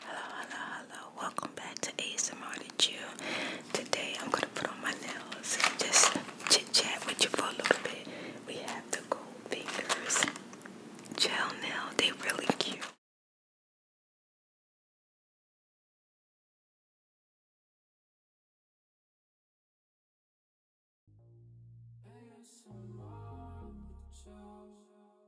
Hello, hello, hello. Welcome back to ASMR to Chill. Today I'm gonna put on my nails and just chit chat with you for a little bit. We have the gold fingers gel nail. They are really cute.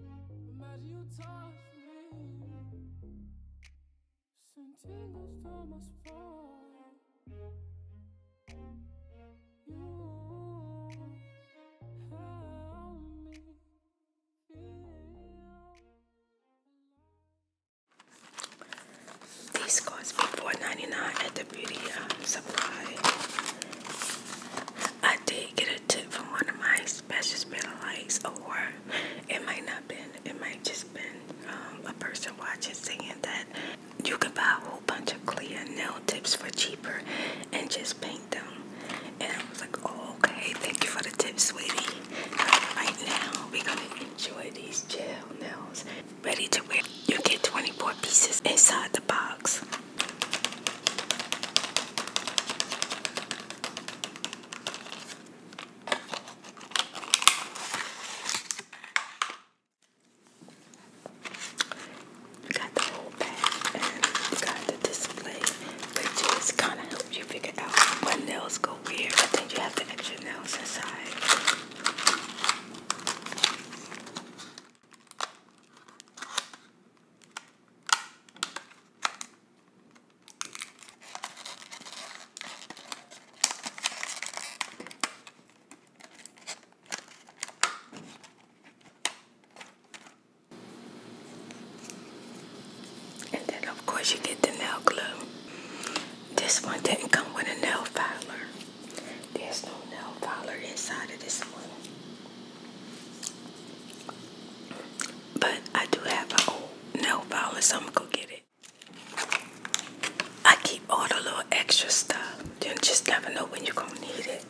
Imagine you touch me. cost me four ninety nine at the beauty supply. I did get a tip from one of my special spin lights, or it might not been. It might just been um, a person watching saying that you can buy a whole bunch of clear nail tips for cheaper and just paint them. And I was like, oh, okay, thank you for the tips, sweetie. Right now, we're gonna enjoy these gel nails. Ready to wear. You get 24 pieces inside the box. You got the whole bag and you got the display, which is kind of helps you figure out what nails go where. But then you have the extra nails inside. And then of course you get the nail glue. This one didn't come with a nail filer. There's no nail filer inside of this one. But I do have an old nail file, so I'm gonna go get it. I keep all the little extra stuff. You just never know when you're gonna need it.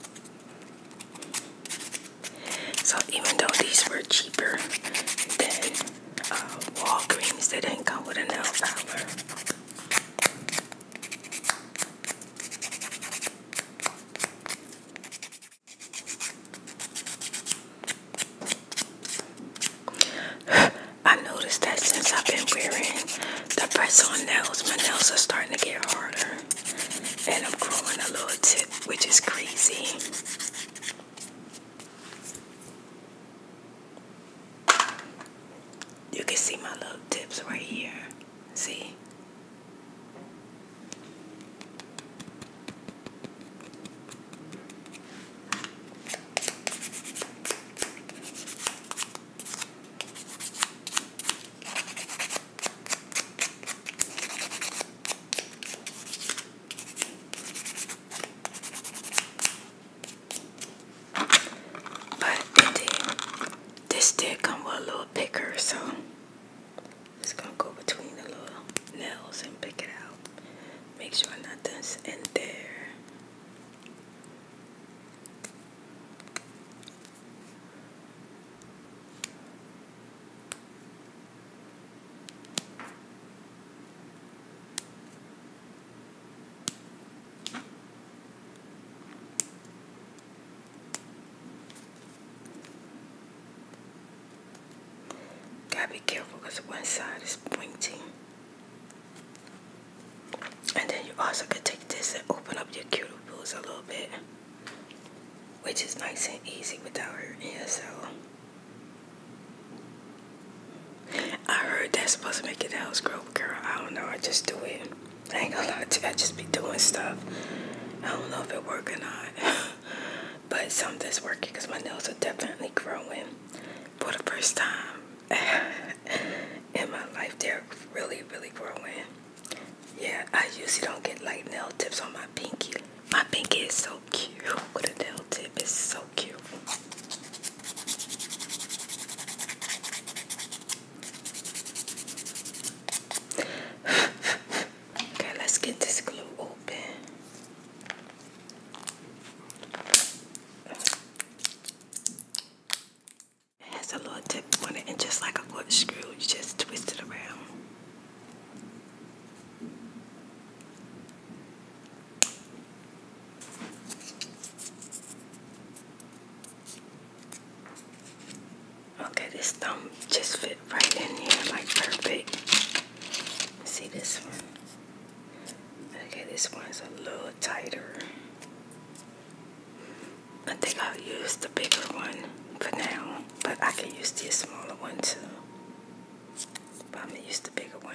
So even though these were cheaper than uh, Walgreens, they didn't come with a nail file. I noticed that since I've been wearing the press on nails, my nails are starting to get harder. And I'm growing a little tip, which is crazy. You can see my little tips right here. See? But this did come with a little picker, so just gonna go between the little nails and pick it out. Make sure nothing's in there. Gotta be careful because one side is pointing. And then you also can take this and open up your cuticles a little bit, which is nice and easy without hurting yourself. I heard that's supposed to make your nails grow, girl. I don't know. I just do it. I ain't gonna lie to you. I just be doing stuff. I don't know if it work or not. but something's working because my nails are definitely growing for the first time in my life. They're really, really growing. Yeah, I usually don't get like nail tips on my pinky. My pinky is so cute with a nail tip. It's so cute. Okay, let's get this glue open. It has a little tip on it, and just like a good screw, you just twist it around. Okay, this thumb just fit right in here, like perfect. See this one? Okay, this one's a little tighter. I think I'll use the bigger one for now, but I can use this smaller one too. But I'm gonna use the bigger one.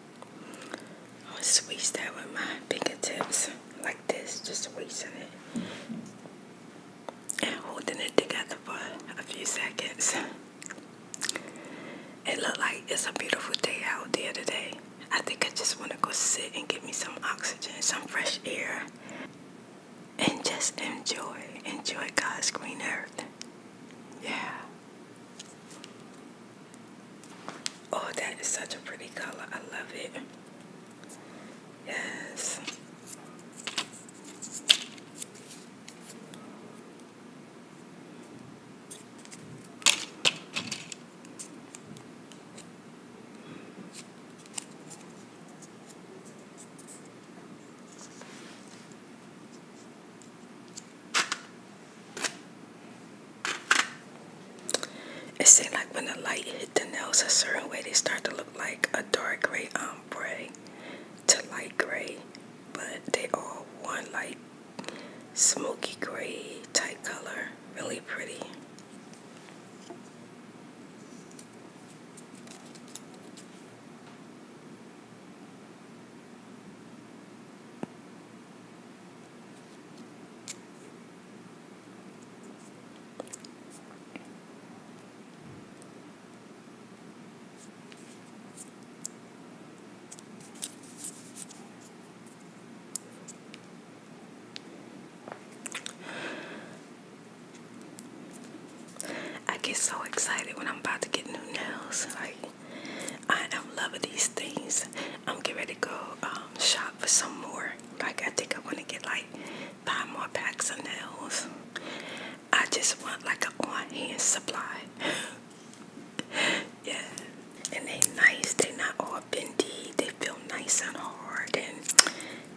I'm gonna squeeze that with my fingertips like this, just squeezing it. And holding it together for a few seconds. It looked like it's a beautiful day out there today. I think I just want to go sit and get me some oxygen, some fresh air, and just enjoy, enjoy God's green earth. Yeah. Oh, that is such a pretty color. I love it. Yes. It seemed like when the light hit the nails a certain way, they start to look like a dark gray ombre um, to light gray, but they all one like smoky gray type color. Really pretty. I get so excited when I'm about to get new nails. Like I am loving these things. I'm getting ready to go um, shop for some more. Like I think I want to get like five more packs of nails. I just want like an on-hand supply. yeah, and they nice. They not all bendy. They feel nice and hard. And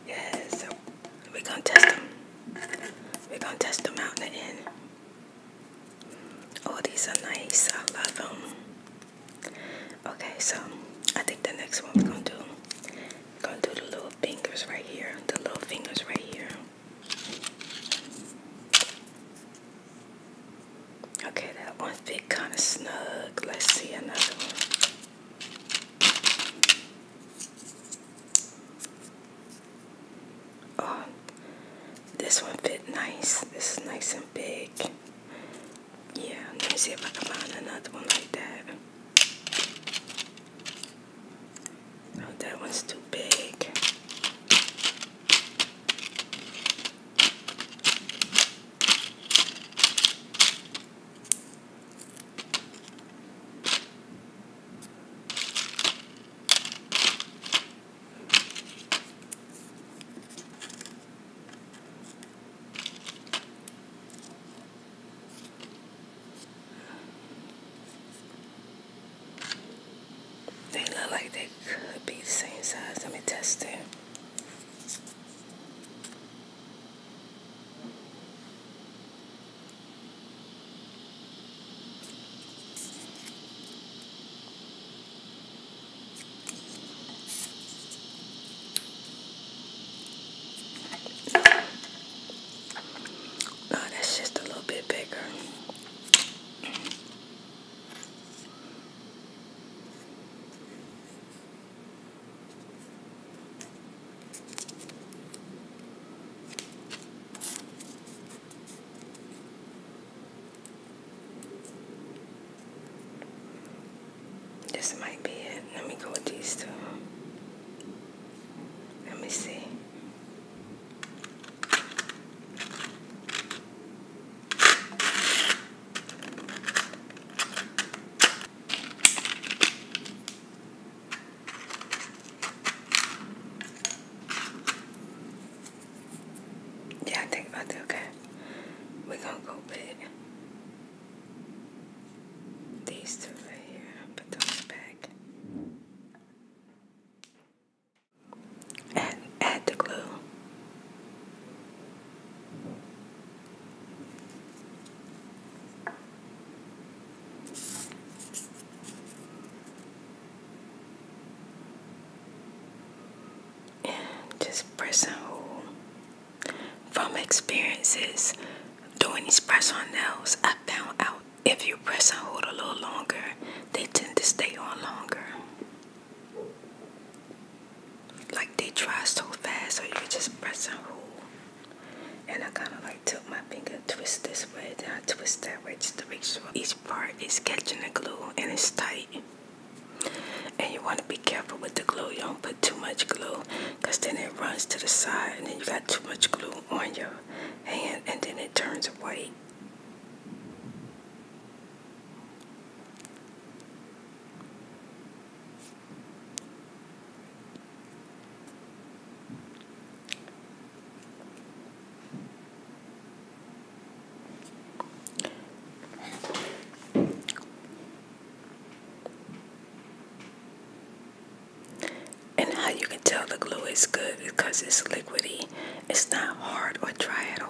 yeah, so we're gonna test them. We're gonna test them out in the end. Oh, these are nice. I love them. Okay, so I think the next one we're gonna do, we're gonna do the little fingers right here. The little fingers right here. Okay, that one fit kind of snug. Let's see another one. Oh, this one fit nice. This is nice and big. Yeah, let me see if I can find another one like that. No, that one's too big. They look like they could be the same size. Let me test it. Oh, that's just a little bit bigger. This might be it. Let me go with these two. Let me see. Yeah, think about that. Okay, we're gonna go with these two right here. Put those back. And add the glue just pressing hold. from experiences doing these press on nails, I found out if you press and hold a little longer, they tend to stay on longer. Like they dry so fast, so you just press and hold. And I kind of like took my finger, twist this way, then I twist that way just to make sure each part is catching the glue and it's tight. And you want to be careful with the glue. You don't put too much glue because then it runs to the side and then you got too much glue on your hand and then it turns white. And how you can tell the glue is good because it's liquidy, it's not hard or dry at all.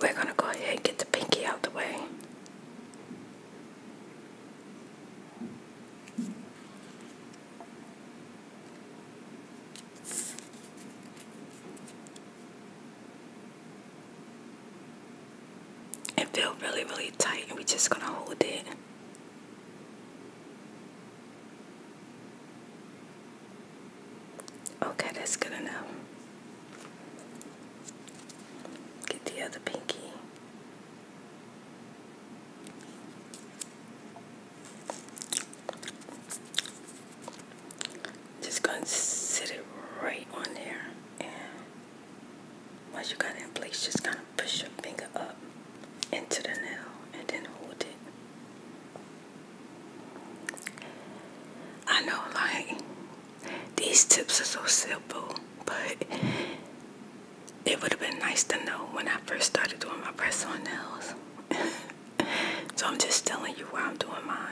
We're going to go ahead and get the pinky out the way. It feels really, really tight, and we're just going to hold it. Okay, that's good enough. Get the other pinky. Just going to set it right on there. once you got it in place, just kind of push your finger up into the nail and then hold it. I know, like, these tips are so simple, but it would have been nice to know when I first started doing my press on nails. so I'm just telling you why I'm doing mine.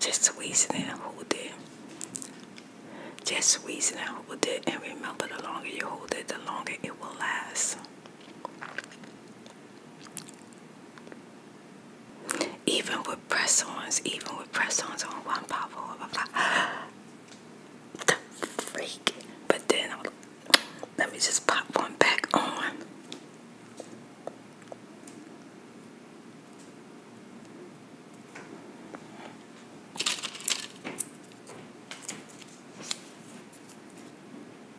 Just squeezing and hold it. Just squeeze it and hold it. And remember, the longer you hold it, the longer it will last. Even with press ons, even with press ons on one pop, I the freak. But then, let me just pop one back on.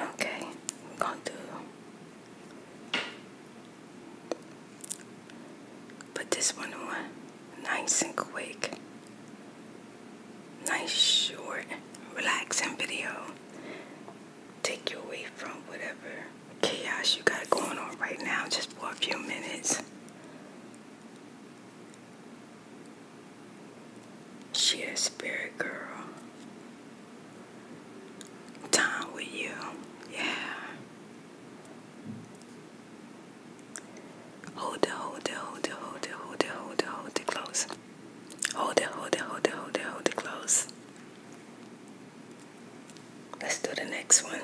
Okay, I'm going to put this one on nice and quick, nice, short, relaxing video take you away from whatever chaos you got going on right now just for a few minutes. She a spirit girl. Time with you. Yeah. Hold it, hold it, hold it, hold it, hold it, hold it, hold it close. Hold it, hold it, hold it, hold it, hold it close. Let's do the next one.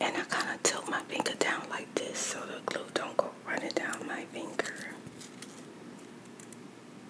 And I kind of tilt my finger down like this so the glue don't go running down my finger.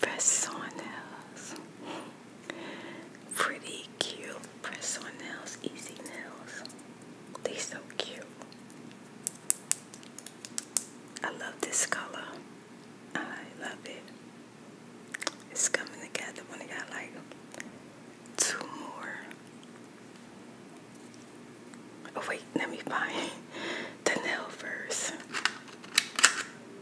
Press on nails. Pretty cute press on nails, easy nails. They so cute. I love this color. I love it. It's coming together when I got like two more. Oh wait, let me find the nail first.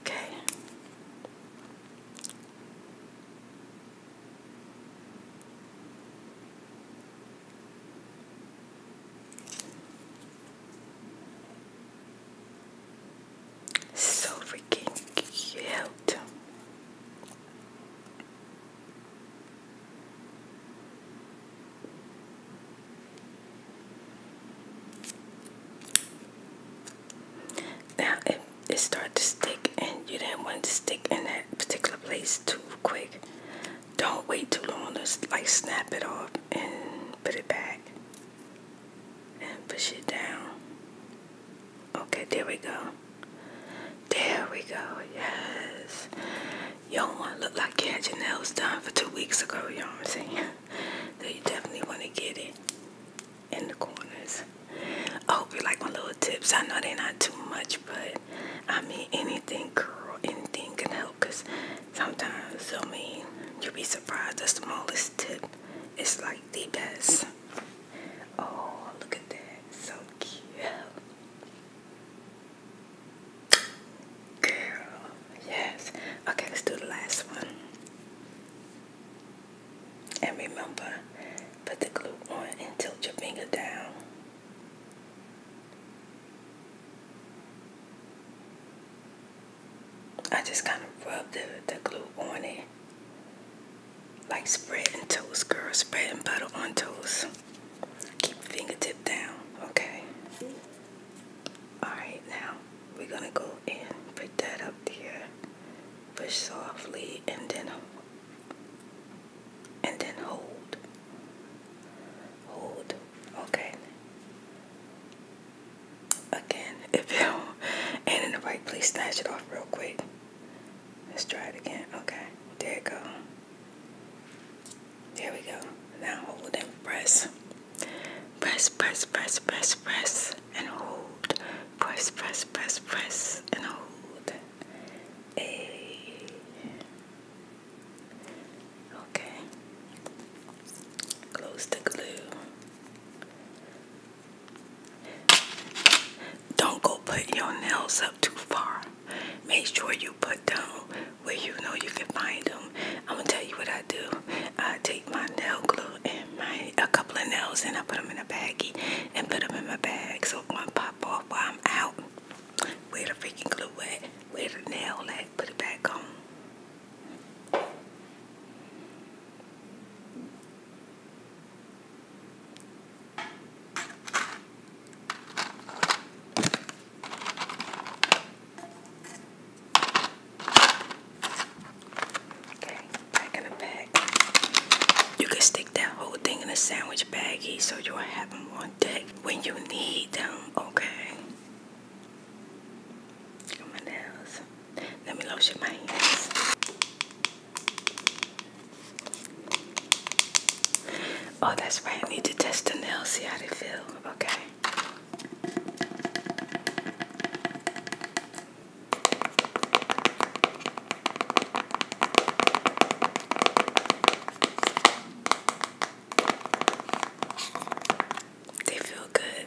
Okay. So freaking cute. Now, if it starts to stick and you didn't want to stick in that particular place too quick, don't wait too long to like snap it off and put it back and push it down Okay, there we go. There we go. Yes. You all want to look like you had done for two weeks ago, you know what I'm saying? so definitely want to get it in the corners. I hope you like my little tips. I know they're not too much, but I mean anything, girl, anything can help because sometimes, I mean, you'll be surprised the smallest tip is like the best. Oh, look at that. So cute. Girl, yes. Okay, let's do the last one. And remember, put the glue on and tilt your finger down. I just kind of rubbed the, the glue on it like spreading toast, girl. Spreading butter on toast. Keep fingertip down, okay? Alright, now we're gonna go in, put that up there, push softly, and then and then hold. Hold. Okay. Again, if you and in the right place, snatch it off real quick. Let's try it again. Okay, there it go. There we go. Now hold and press. Press, press, press, press, press, and hold. Press, press, press, press, and hold. A. Okay. Close the glue. Don't go put your nails up too far. Make sure you put them where you know you can find them. I'm gonna tell you what I do. I take my nail glue and my a couple of nails and I put them in a baggie and put them in my bag so it won't pop off while I'm out. Where the freaking glue at? Where the nail at? Put it back on. Okay, back in the bag. You can stick that whole thing in a sandwich baggie so you'll have them on deck when you need them, okay? Look at my nails. Let me lotion my hands. Oh, that's right. I need to test the nails, see how they feel. Okay. They feel good.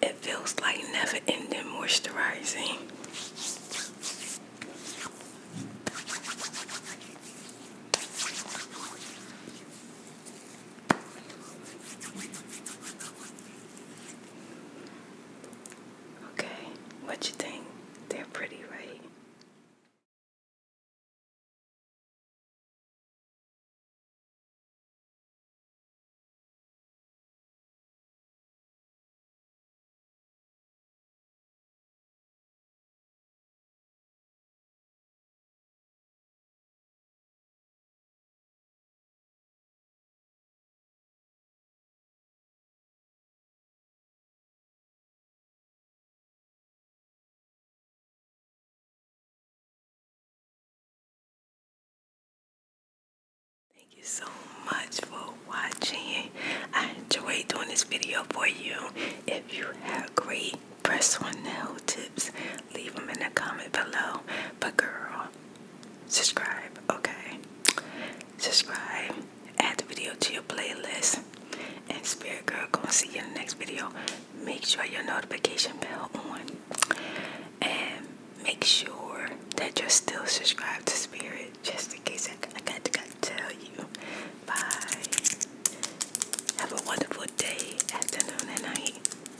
It feels like never ending moisturizing. Okay, what you think? They're pretty, right? Thank you so much for watching. I enjoyed doing this video for you. If you have great press one nail tips, leave them in the comment below. But girl, Subscribe, okay. Subscribe, add the video to your playlist. And Spirit Girl, gonna see you in the next video. Make sure your notification bell on. And make sure that you're still subscribed to Spirit, just in case I, I got gotta tell you. Bye. Have a wonderful day, afternoon, and night.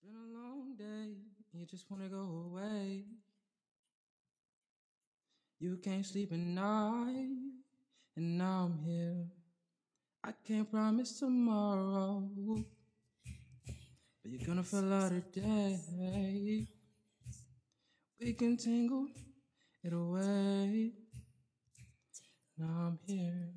It's been a long day, you just want to go away. You can't sleep at night, and now I'm here. I can't promise tomorrow, but you're gonna feel out today. We can tangle it away. and I'm here.